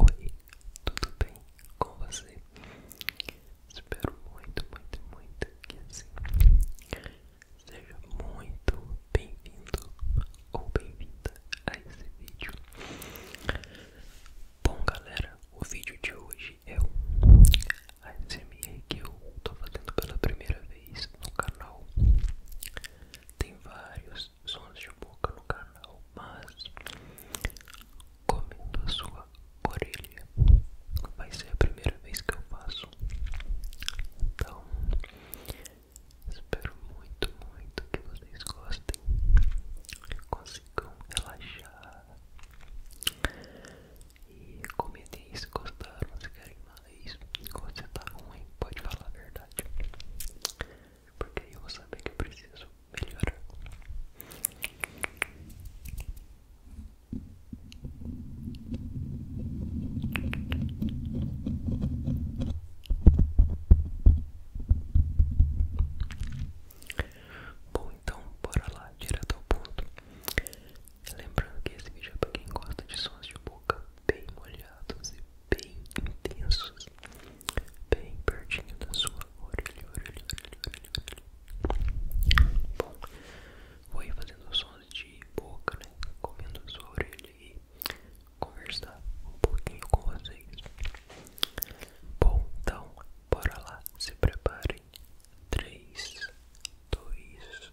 Oi, tudo bem com você? Espero muito, muito, muito que assim Seja muito bem-vindo ou bem-vinda a esse vídeo. Bom, galera, o vídeo de hoje é um ASMR que eu estou fazendo pela primeira vez no canal. Tem vários sons de boca no canal, mas comendo a sua orelha vai ser a primeira vez que eu faço. Então, Espero muito, muito que vocês gostem, consigam relaxar e comentem se gostaram, se querem mais. Quando você tá ruim, pode falar a verdade, porque eu vou saber que eu preciso melhorar. Bom, então bora lá, direto ao ponto. Lembrando que esse vídeo é pra quem gosta de sons de boca bem molhados e bem intensos, bem pertinho da sua orelha, Bom, vou ir fazendo sons de boca, né? Comendo a sua orelha e conversar um pouquinho com vocês. Bom, então, bora lá, se preparem. Três, dois.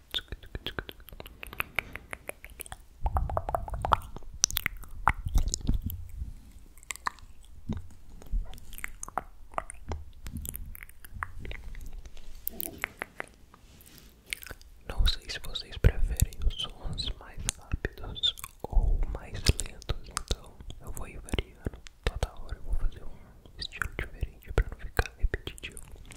Não sei se vocês preferem os sons mais rápidos ou mais lentos, então eu vou ir variando. Toda hora eu vou fazer um estilo diferente para não ficar repetitivo.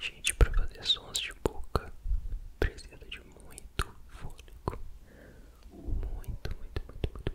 Gente, para fazer sons de boca precisa de muito fôlego muito, muito, muito, muito, muito.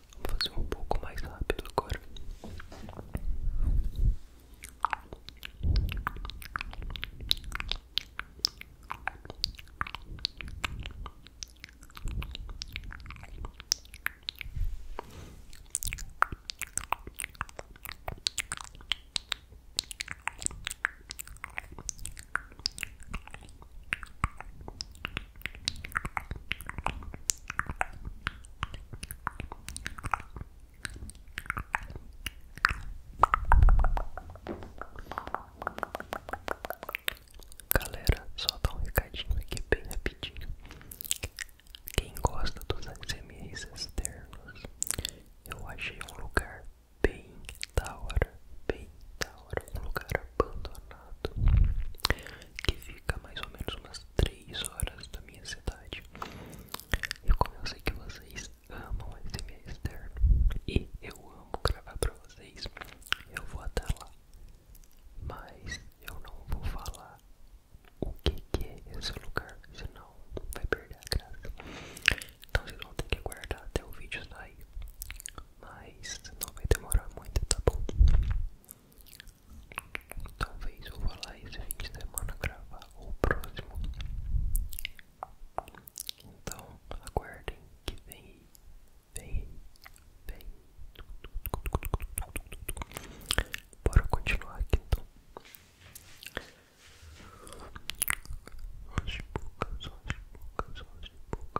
Vou fazer um pouco mais rápido agora. Galera, só dá um recadinho aqui bem rapidinho. Quem gosta dos ASMRs externos, eu achei um lugar bem da hora, bem da hora, um lugar abandonado que fica mais ou menos umas umas 3 horas da minha cidade. E como eu sei que vocês amam SMR externo e eu amo gravar pra vocês, eu vou até lá. Mas eu não vou falar o que é esse lugar, senão vai perder a graça. Então vocês vão ter que aguardar até o vídeo sair. Mas não vai demorar muito, tá bom? Talvez eu vá lá esse fim de semana gravar o próximo. Então aguardem que vem, vem, vem. Bora continuar aqui então. As bocas, as bocas, as bocas.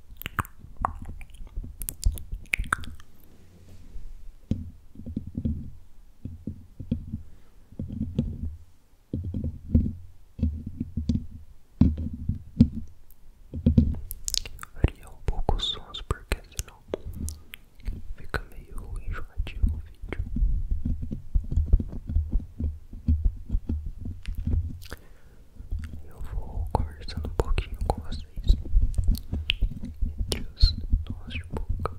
Varia um pouco os sons porque senão fica meio enjoativo o vídeo eu vou conversando um pouquinho com vocês entre os nós de boca.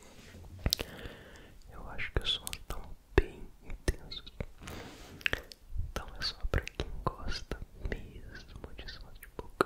Eu acho que os sons estão bem intenso, Então é só para quem gosta mesmo de sons de boca.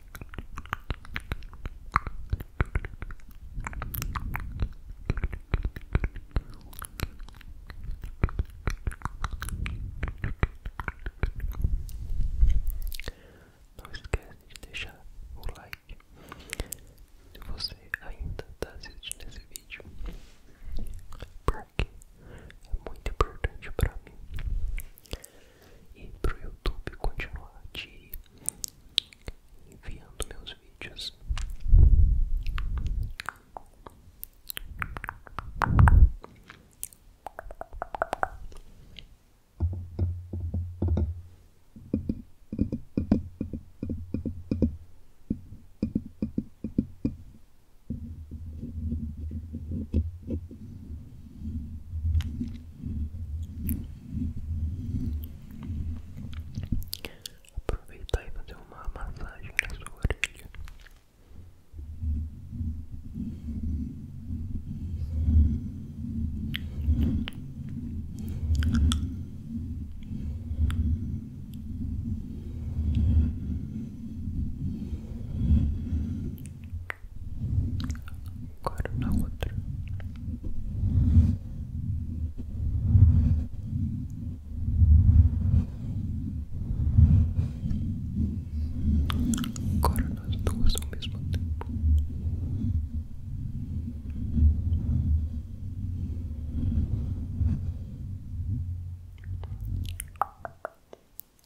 Não esquece de deixar o like se você ainda está assistindo esse vídeo, porque é muito importante para mim e pro YouTube continuar te enviando meus vídeos. Aproveitar e fazer uma massagem na sua orelha. Agora na outra. Agora nas duas ao mesmo tempo.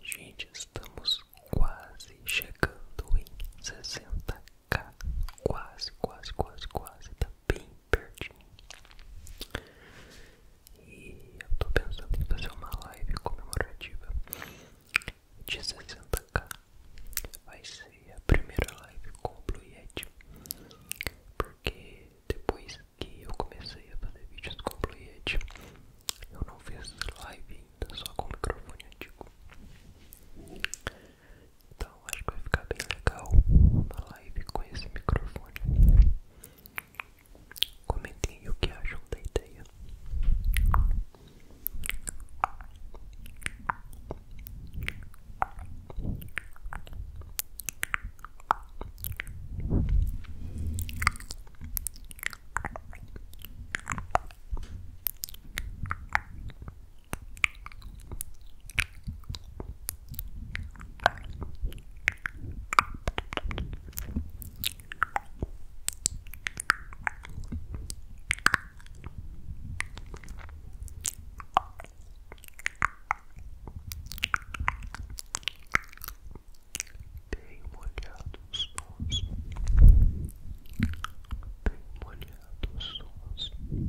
Gente, estamos quase chegando em sessenta k Quase, quase, quase, quase. Está bem pertinho. E eu tô pensando em fazer uma live comemorativa de 60k. Vai ser a primeira live com o Blue Yeti. Porque depois que eu comecei a fazer vídeos com o Blue Yeti, eu não fiz live ainda, só com o microfone antigo. Então acho que vai ficar bem legal uma live com esse microfone. Comentem o que acham da ideia. Bem molhado os tons, bem molhado os tons, bem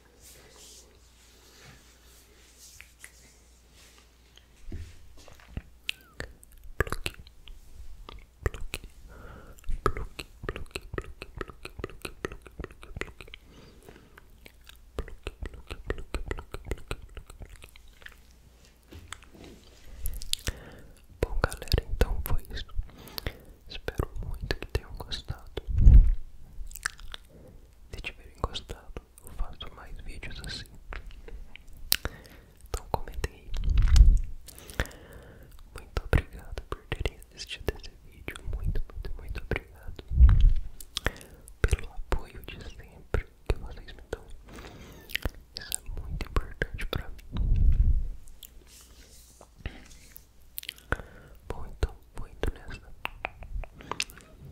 Pluck, pluck, pluck, pluck, pluck, pluck, pluck, pluck, pluck, pluck. Bom galera, então foi isso. Espero muito que tenham gostado. Se tiverem gostado, eu faço mais vídeos assim. Então comentem aí. Muito obrigado por terem assistido esse vídeo. Muito, muito, muito obrigado pelo apoio de sempre que vocês me dão. Isso é muito importante pra mim. Bom, então, vou indo nessa.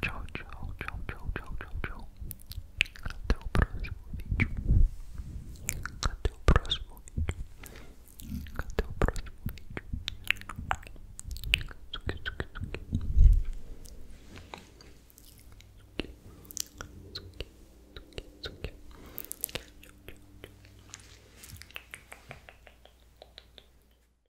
Tchau, tchau, tchau, tchau, tchau, tchau, Até o próximo vídeo. Até o próximo vídeo. Até o próximo vídeo. Tuque, tuque, tuque. Tuque, tuque, tuque. Tchau, tchau, tchau.